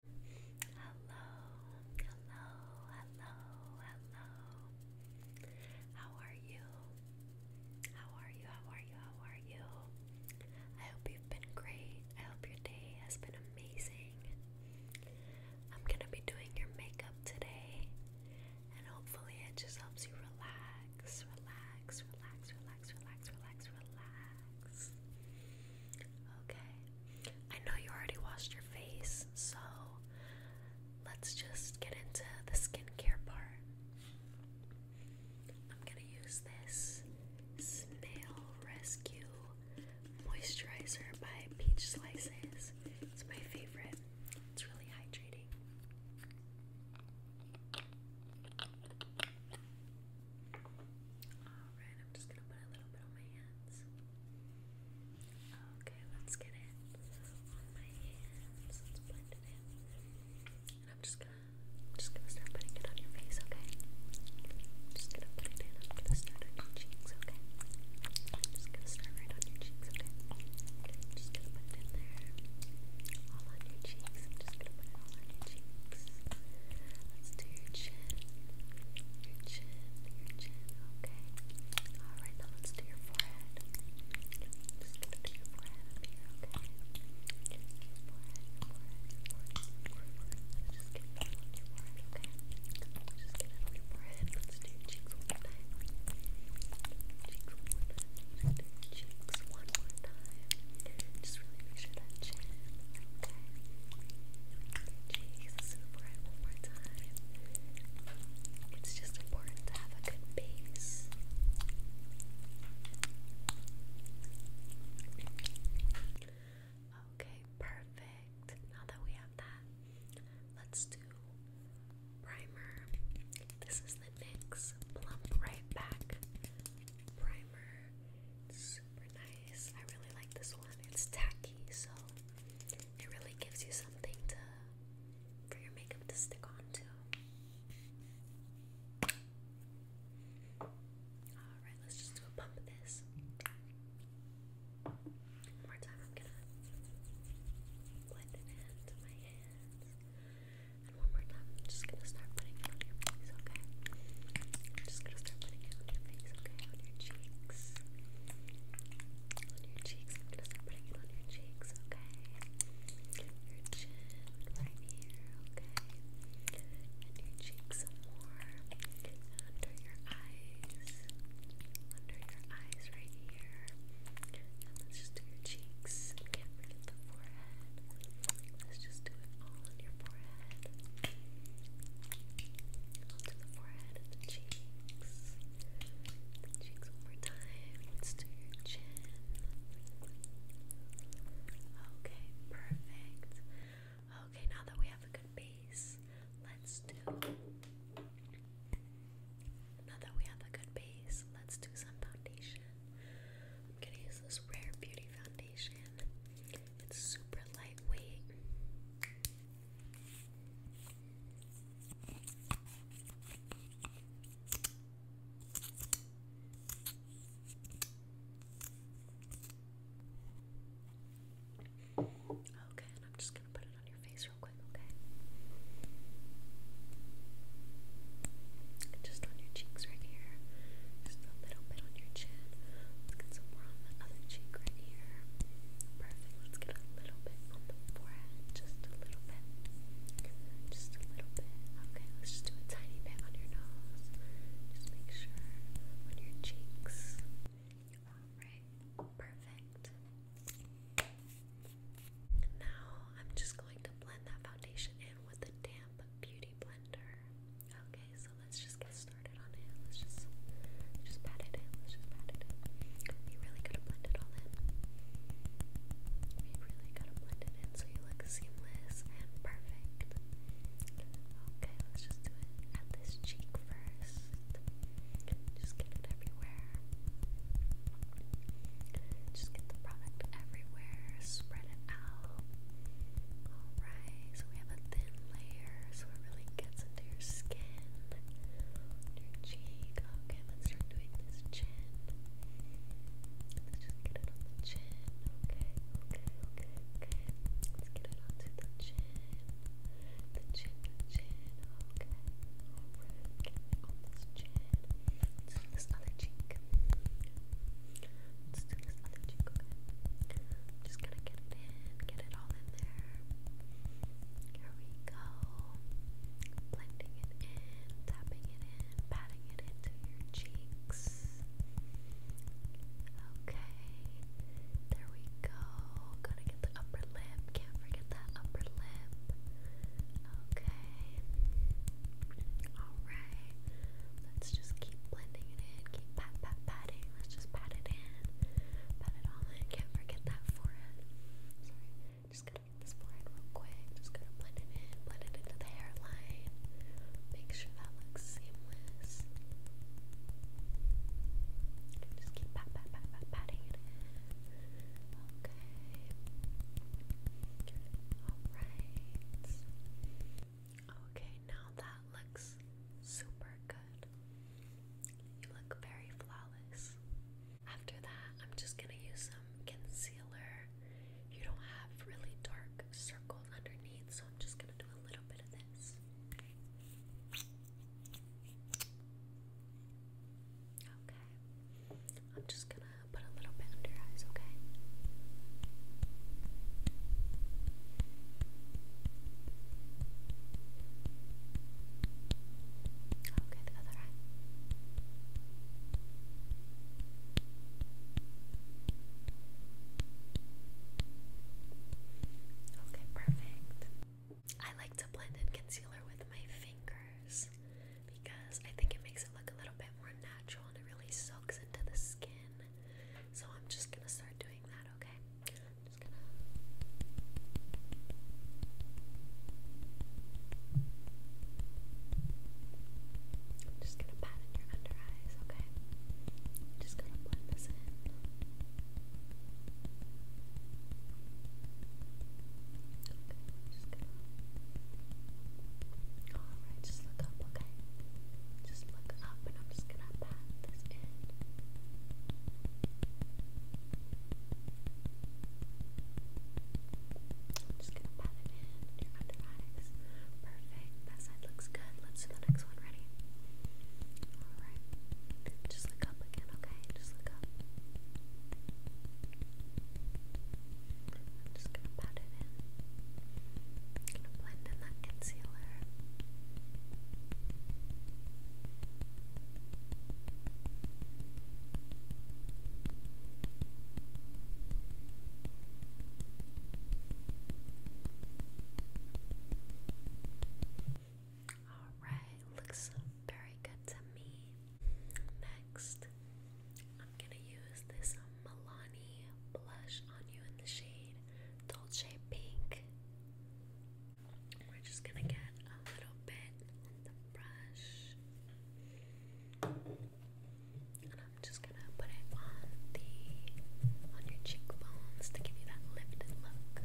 Hello, hello, hello, hello. How are you? How are you? How are you? How are you? I hope you've been great. I hope your day has been amazing. I'm gonna be doing your makeup today, and hopefully, it just helps you relax, relax, relax, relax, relax, relax, relax. Okay. I know you already washed your face, so let's just get into the skincare part. I'm going to use this Snail Rescue Moisturizer by Peach Slices. It's my favorite, it's really hydrating. Alright, I'm just gonna put a little bit on my hands. Okay, let's get it on my hands. Let's blend it in. I'm just gonna just gonna start putting it on your face, okay? just gonna put it in, I'm gonna start on your cheeks, okay? just gonna start right on your cheeks, okay? just gonna put it there. All on your cheeks. just gonna put it all on your cheeks. Let's do your chin. chin, chin. Okay. Alright, now let's do your forehead. Just going your forehead okay? just on your forehead, okay? just on your forehead. Let's do your cheeks one more time. Cheeks one more time. cheeks one more time. Just really make sure that chin okay. It's just important to have a good base. Okay, perfect. Now that we have that, let's do primer. This is the NYX Plump Right Back Primer super nice. I really like this one. It's tacky, so it really gives you something to for your makeup to stick on to. Alright, let's just do a pump of this. more time, I'm gonna blend it into my hands. And one more time, I'm just gonna start putting it on your face, okay? just gonna start putting it on your face, okay? On your cheeks. On your cheeks, I'm gonna start putting it on your cheeks, okay? Your chin right here, okay? And your cheeks some more. Under your eyes. Under your eyes right here. And let's just do your cheeks can the forehead. Let's just do it all on your forehead. Onto the forehead and the cheeks. cheeks one more time. Let's do your chin. Okay, perfect. Okay, now that we have a good base, let's do. Now that we have a good base, let's do some foundation. I'm gonna use this Rare Beauty foundation. It's super lightweight. Okay, and I'm just gonna put it on your face real quick, okay? Just on your cheeks right here. Just a little bit on your chin. Let's get some more on the other cheek right here. Perfect. Let's get a little bit on the forehead. Just a little bit. Just a little bit. Okay, let's just do a tiny bit on your nose. Just make sure on your cheeks. Alright, perfect. Now I'm just going to blend that foundation in with the damp Beauty Blender. Okay, so let's just get started on it. Let's just, just pat it in. Let's just pat it in. really gotta blend it all in. You really gotta blend it in so you look seamless and perfect. Okay, let's just do it at this cheek first. Just get it everywhere. Just get the product everywhere, spread it out. Alright, so we have a thin layer so it really gets into your skin, your cheek. Okay, let's start doing this chin. Let's just get it on the chin. Okay, okay, okay, Let's get it onto the chin. The chin, the chin. Okay, alright, get it on this chin. let do this other cheek. let do this other cheek, Just gonna get it in, get it all in there. Here we go. Blending it in, tapping it in, patting it into your cheeks. Okay. There we go. Gotta get the upper lip. Can't forget that upper lip. Okay. Alright. Let's just keep blending it in. Keep pat pat patting. Let's just pat it in. Pat it all in. Can't forget that forehead. Sorry. Just gotta get this forehead real quick. Just gotta blend it in. Blend it into the hairline. Make sure that looks seamless. Just keep pat pat pat pat patting it in okay. Alright. Okay, now that looks super good. You look very flawless. After that, I'm just gonna use some concealer. You don't have really dark circles underneath, so I'm just gonna do a little bit of this. Okay. I'm just gonna put a little bit under eyes, okay? Okay, the other eye. Okay, perfect. I like to blend in concealer with my fingers because I think it makes it look a little bit more natural and it really soaks into the skin. So I'm just gonna start doing that, okay? just gonna. pat in your under eyes, okay? just gonna blend this in. Alright, just look up, okay? Just look up and I'm just gonna pat this in. I'm just gonna pat it in your under eyes. Perfect. That side looks good. Let's do the next one. Ready? Alright. Just look up again, okay? Just look up. I'm just gonna pat it in. I'm gonna blend in that concealer. Alright, looks very good to me. Next, I'm gonna use this Milani blush on you in the shade Dolce Pink. We're just gonna get a little bit on the brush. And I'm just gonna put it on the on your cheekbones to give you that lifted look.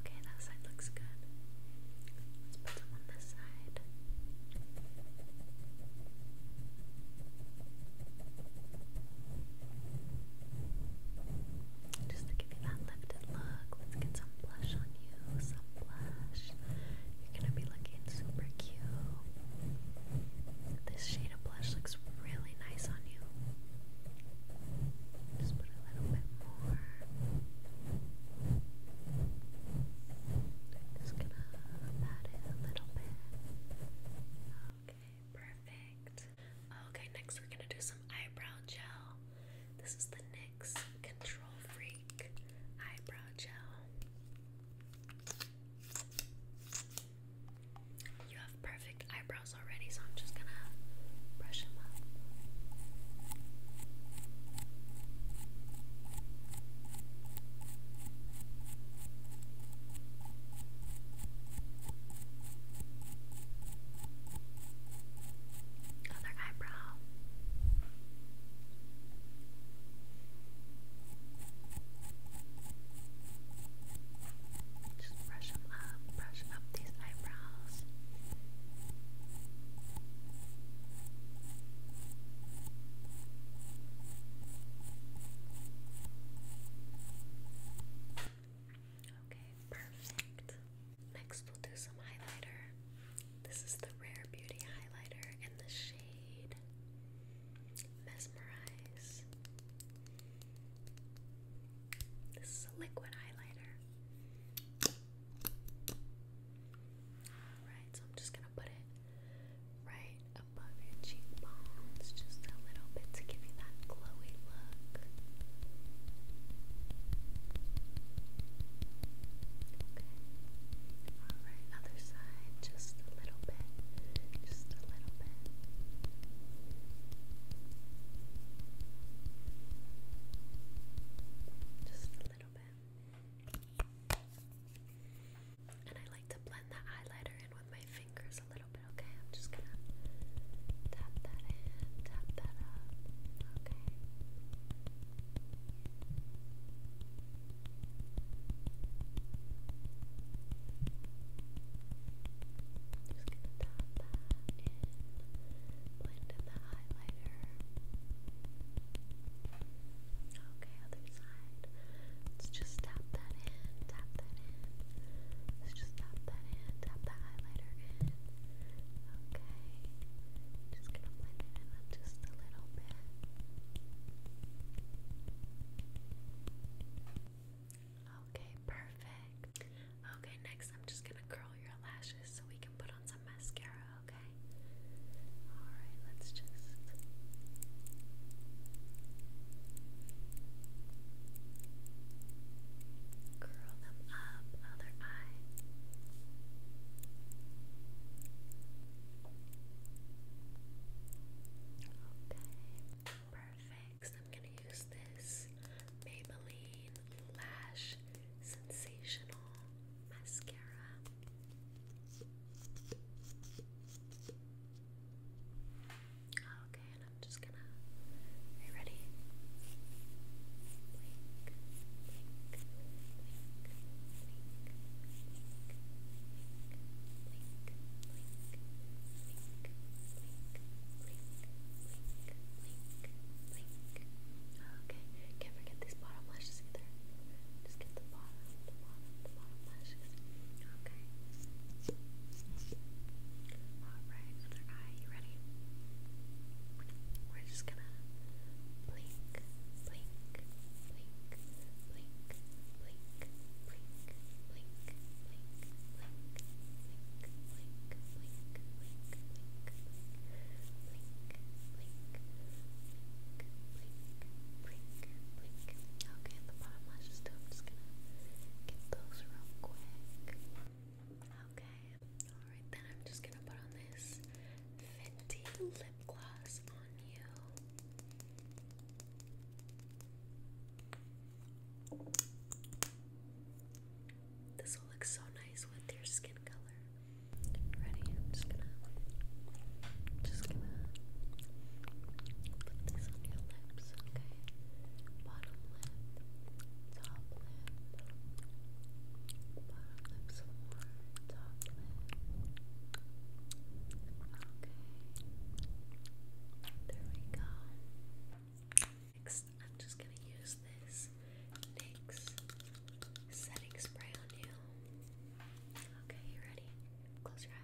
okay, that side looks good. Let's put them on this side. Just to give you that lifted look, let's get some blush on you. Some blush. You're gonna be looking super cute. This shade of blush looks really nice on you. Just put a little bit more. just gonna pat it a little bit. Okay, perfect. Okay, next we're gonna do some eyebrow gel. This is the NYX Control Freak Eyebrow Gel perfect eyebrows already, so I'm just gonna brush them up. Other eyebrow. Just brush them up, brush up these eyebrows. Okay, perfect. Next, we'll do some highlighter. This is the Rare Beauty highlighter in the shade Mesmerize. This is a liquid highlighter. Alright, so I'm just gonna put it right above your cheekbones, just a little bit to give you that glowy look. Okay. Alright, other side, just a little bit. Just a little bit. Just a little bit. And I like to blend the highlighter in with my fingers a little bit, okay? I'm just gonna tap that in, tap that up, okay? Just gonna dot that in, blend in the highlighter. Okay, other side. Let's just tap that in, tap that in. Let's just tap that in, tap that highlighter Okay. Just gonna blend it in just a little bit. Okay, perfect. Okay, next I'm just gonna curl your lashes so we can put on some mascara, okay? Alright, let's just. Curl them up, other eye. Okay, perfect next, I'm going to use this Maybelline Lash Sensational Mascara. Okay, and I'm just gonna. ready? Okay, can't forget these bottom lashes either. Just get the bottom, the bottom, the bottom lashes. Okay. Alright, other eye, you ready? We're just gonna blink, blink, blink, blink, blink, blink. Okay, the bottom lashes too. I'm just gonna get those real quick. Okay, alright then I'm just gonna put on this Fenty lip gloss on you. This will look so nice with your skin color. Ready? I'm just gonna, just gonna put this on your lips, okay? Bottom lip, top lip, bottom lip more, top lip. Okay. There we go. Next, I'm just going to use this NYX setting spray on you. Okay, you ready? Close your eyes.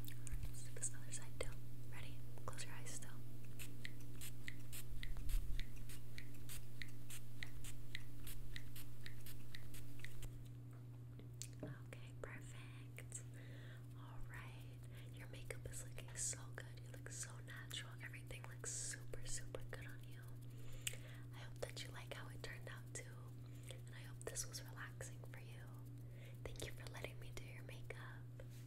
let's do this other side too. Ready? Close your eyes still. Okay, perfect. Alright. Your makeup is looking so good. You look so natural. Everything looks super, super good on you. I hope that you like how it turned out too. And I hope this was relaxing for you. Thank you for letting me do your makeup.